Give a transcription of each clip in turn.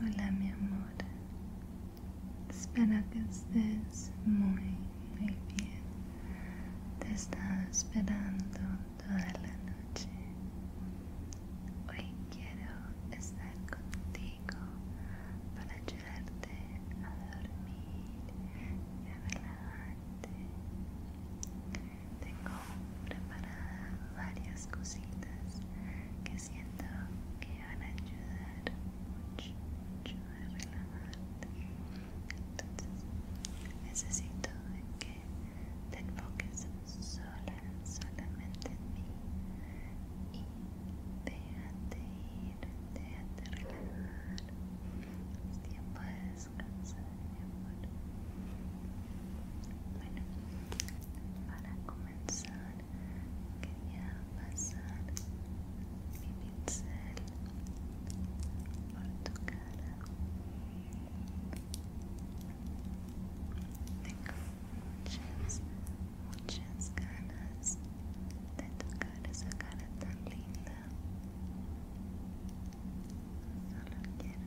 Hola mi amor, espero que estés muy, muy bien. Te estaba esperando toda la noche. Hoy quiero estar contigo para ayudarte a dormir y a relajarte. Tengo preparada varias cositas que siento que van a ayudar mucho, mucho a relajarte. Entonces, necesito que te enfoques sola, solamente en mí y déjate ir, déjate relajar. Es tiempo de descansar, mi amor. Bueno, para الإنسان كريهة عسل بيبتسل برتقالة muchas, muchas ganas de tocar esa cara tan linda Solo quiero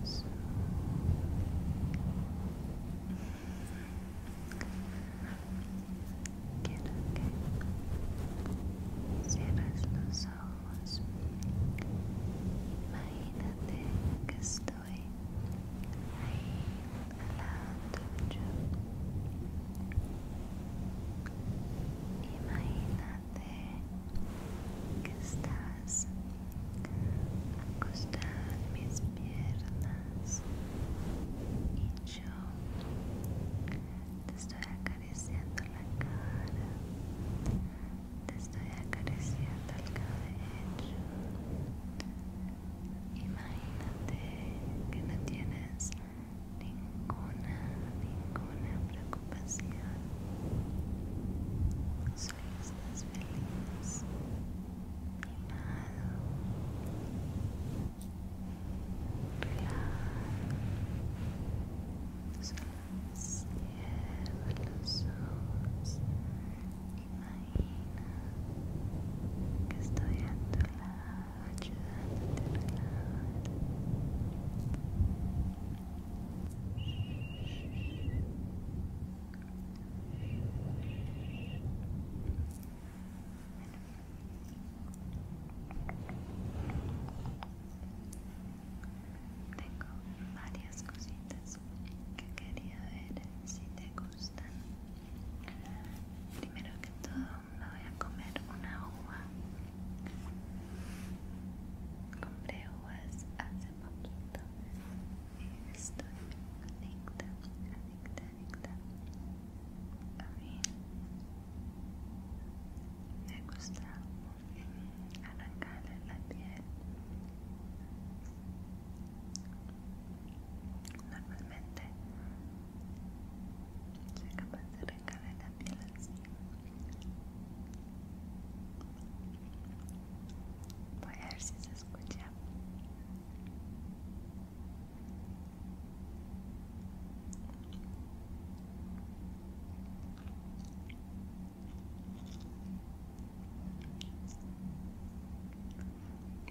los Quiero que cierres los ojos. Imagínate que estoy ahí al lado tuyo. imagínate Imagínate que estás acostada mis piernas y yo te estoy acariciando la cara, te estoy acariciando el cabello. Imagínate que no tienes ninguna, ninguna preocupación. Solo estás feliz, animado relajado. Solo cierra los ojos. Imagina que estoy a tu lado ayudándote a relajarte. Tengo varias cositas que quería ver si te gustan. Primero que todo, me voy a comer una uva Compré uvas hace poquito y estoy adicta, adicta, adicta. A mí me gusta arrancarle la piel. Normalmente soy capaz de arrancarle la piel así. Voy a ver si se escucha.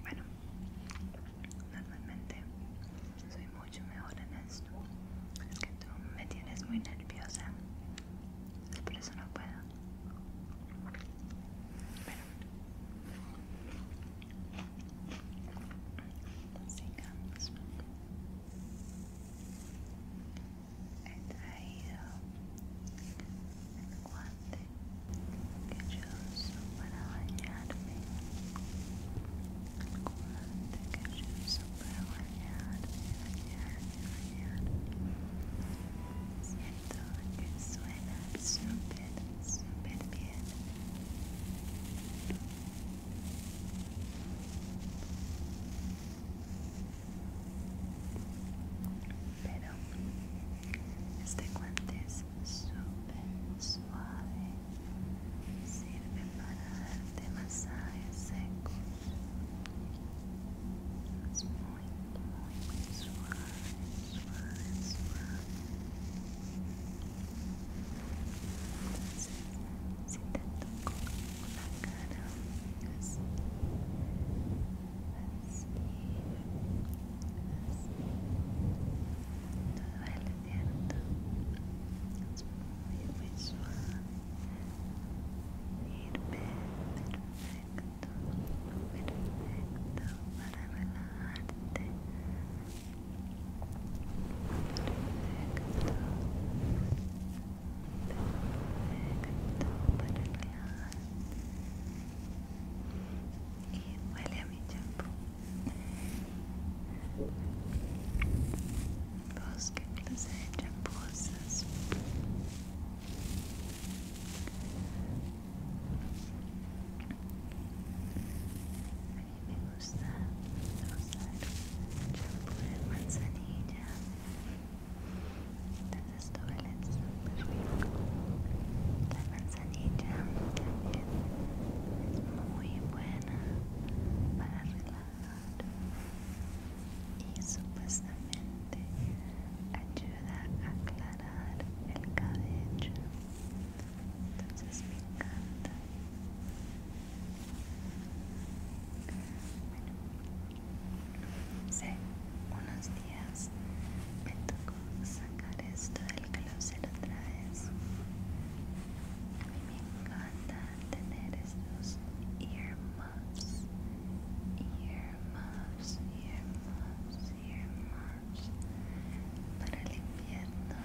Bueno, normalmente soy mucho mejor en esto. Es que tú me tienes muy nerviosa. por eso no puedo. Bueno. He traído el guante que yo uso para bañarme que yo super Siento que suena super, super bien. Pero este guante es súper suave Sirve para darte masajes secos. Es muy, muy, muy suave, suave, suave. Entonces, si te toco la cara, así, así, así. No duele, ¿cierto? Es muy, muy suave perfecto, perfecto para relajarte. Perfecto, perfecto para relajarte. Y huele a mi champú. Busque placer de poças. A me gusta usar champú de manzanilla. Entonces duele La manzanilla es muy buena para relajar. y supuestamente ayuda a aclarar el cabello entonces me encanta bueno, sé unos días me tocó sacar esto del closet otra vez a mí me encanta tener estos earmuffs, earmuffs, earmuffs, earmuffs para el invierno,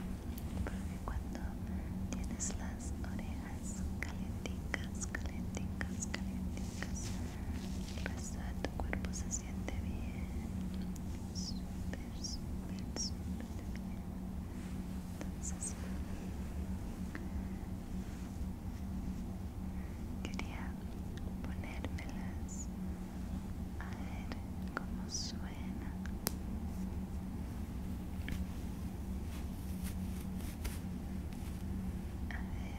porque cuando tienes las orejas calienticas, calienticas, calienticas, el tu cuerpo se siente bien, súper, súper, súper bien. Entonces, quería ponérmelas a ver cómo suena. A ver.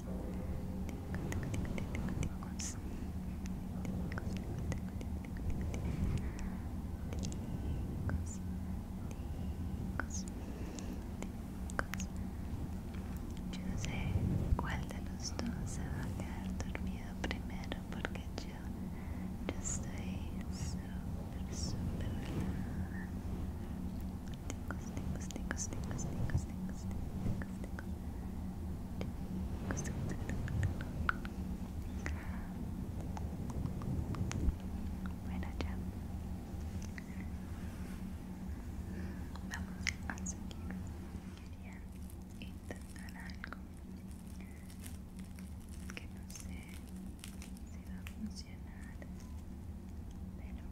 Yo no sé cuál de los dos se va a quedar dormido primero porque yo, yo estoy super súper bueno, ya. Vamos a seguir. Quería intentar algo que no sé si va a funcionar, pero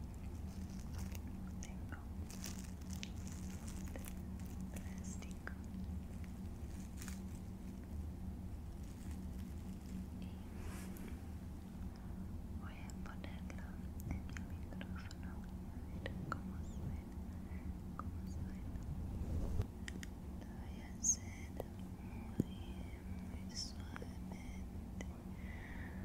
tengo plástico y voy a ponerlo en el micrófono a ver cómo suena como suena lo voy a hacer muy muy suavemente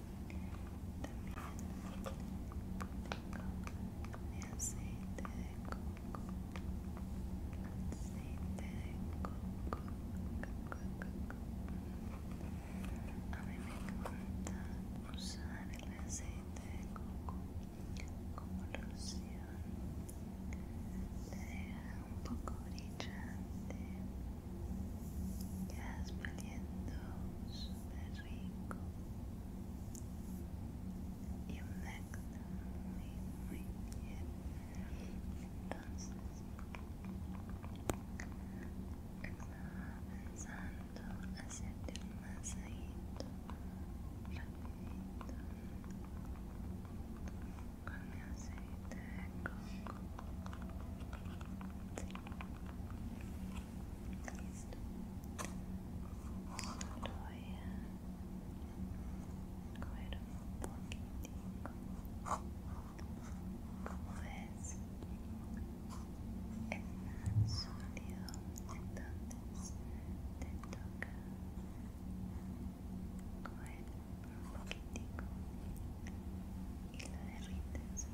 También tengo aceite de coco, aceite de coco, A mí me encanta usar el aceite de coco como loción. deja un poco brillante. Estás valiendo súper rico y un acto muy, muy bien. Entonces, estaba pensando hacerte un masajito rapidito con mi aceite de coco. Sí. comer un poquitico como es más sólido entonces te toca comer un poquitico y lo derrites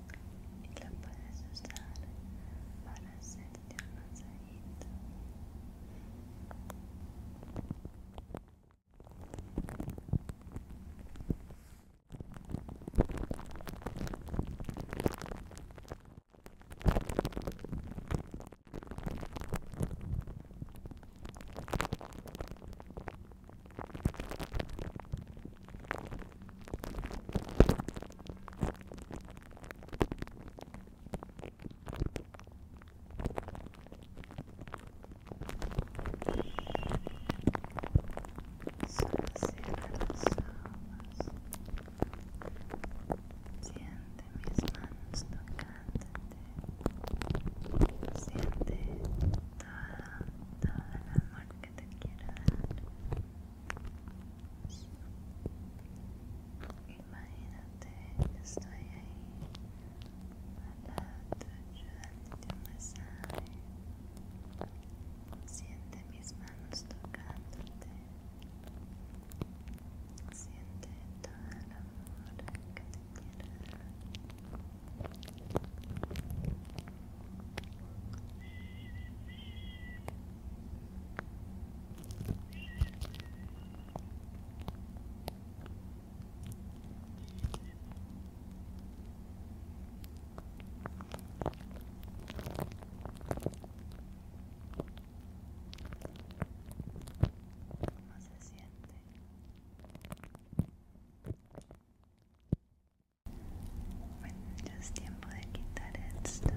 y lo puedes usar para hacerte un masajito. Siente mis manos tocándote. Siente toda, toda la look at Imagínate estoy ahí al lado tuyo dándote Siente mis manos tocándote. Siente todo el amor que te quiero ¿Cómo se siente? Bueno, ya es tiempo de quitar esto.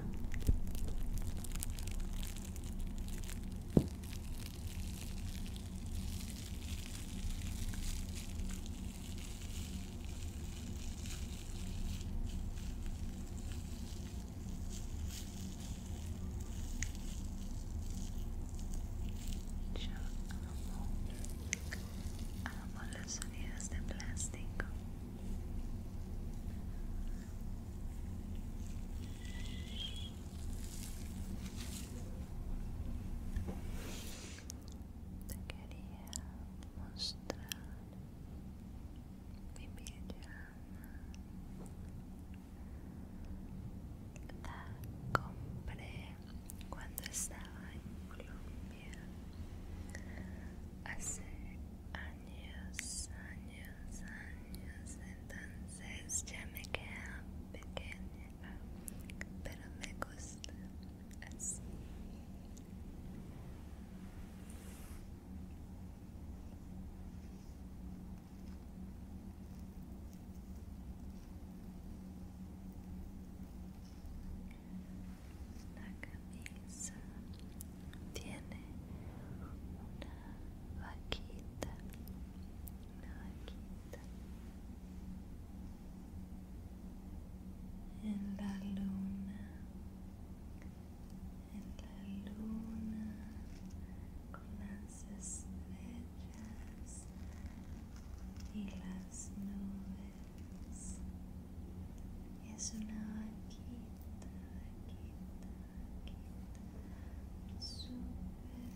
Ya Amo los sonidos de plástico. Te quería mostrar mi pijama. La compré cuando estaba en Colombia. hace años, años, años, entonces ya me queda pequeña, pero me gusta así. La camisa tiene una vaquita, una vaquita. En la luna, en la luna, con las estrellas y las nubes es una vaquita, vaquita, vaquita, súper,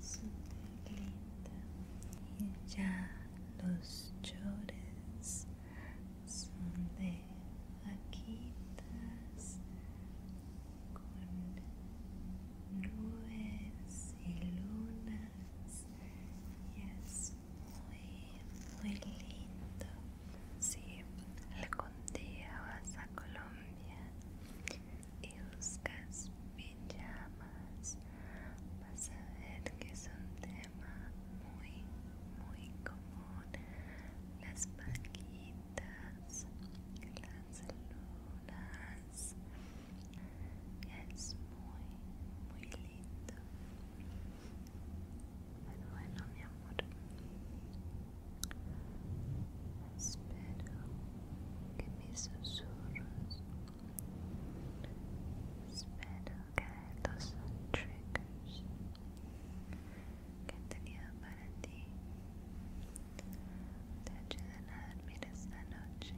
súper linda. Y ya los chores son de vaquitas con nubes y lunas y es muy, muy lindo. Si algún día vas a Colombia y buscas pijamas, vas a ver que es un tema muy, muy común. Las paquitas, las lunas, es muy, muy lindo. bueno, mi amor, espero que mis susurros, espero que los triggers que he para ti te ayuden a dormir esta noche.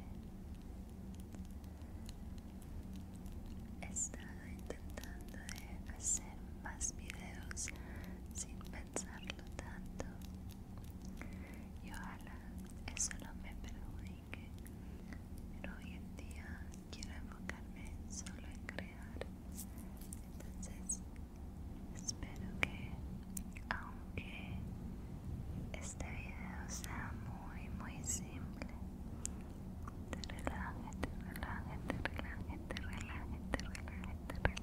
He estado intentando de hacer más videos sin pensarlo tanto y ojalá eso no me perjudique, pero hoy en día quiero enfocarme solo en crear, entonces espero que aún que este video sea muy muy simple te relaje, relaje, relaje, te te te relaje, te relaje, te relaje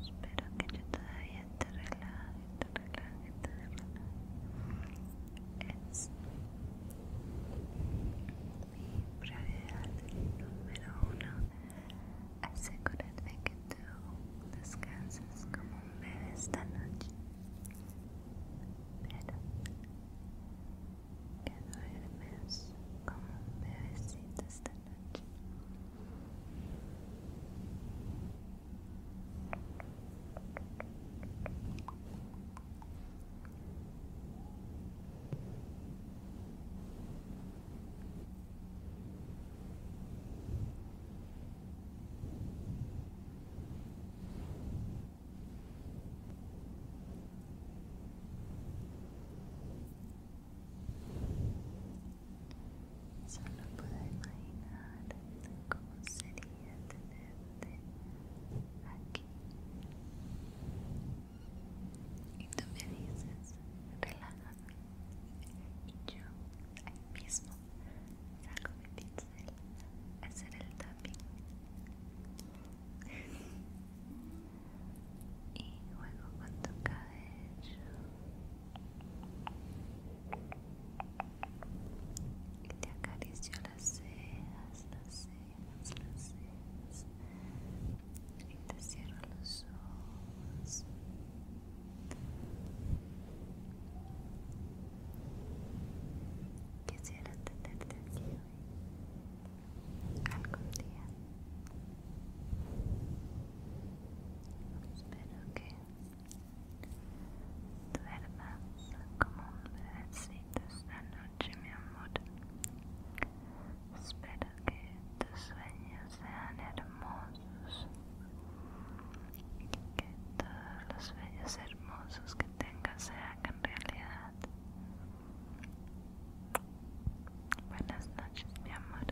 espero que yo todavía te relaje, te relaje, te relaje es mi prioridad número uno asegúrate que tú como un bebé esta noche, pero que duermes como un bebecito esta noche. Solo puedo imaginar cómo sería tenerte aquí. Y tú me dices, relájame. Y yo ahí mismo Salgo mi pincel hacer el tapping y juego con tu cabello y te acaricio las cejas, las cejas, las sedas y te cierro los ojos Quisiera tenerte algún día. Espero que duermas como un pedacito esta noche, mi amor. Espero que tus sueños sean hermosos. hermosos que todos los bellos hermosos que tengas se hagan realidad buenas noches mi amor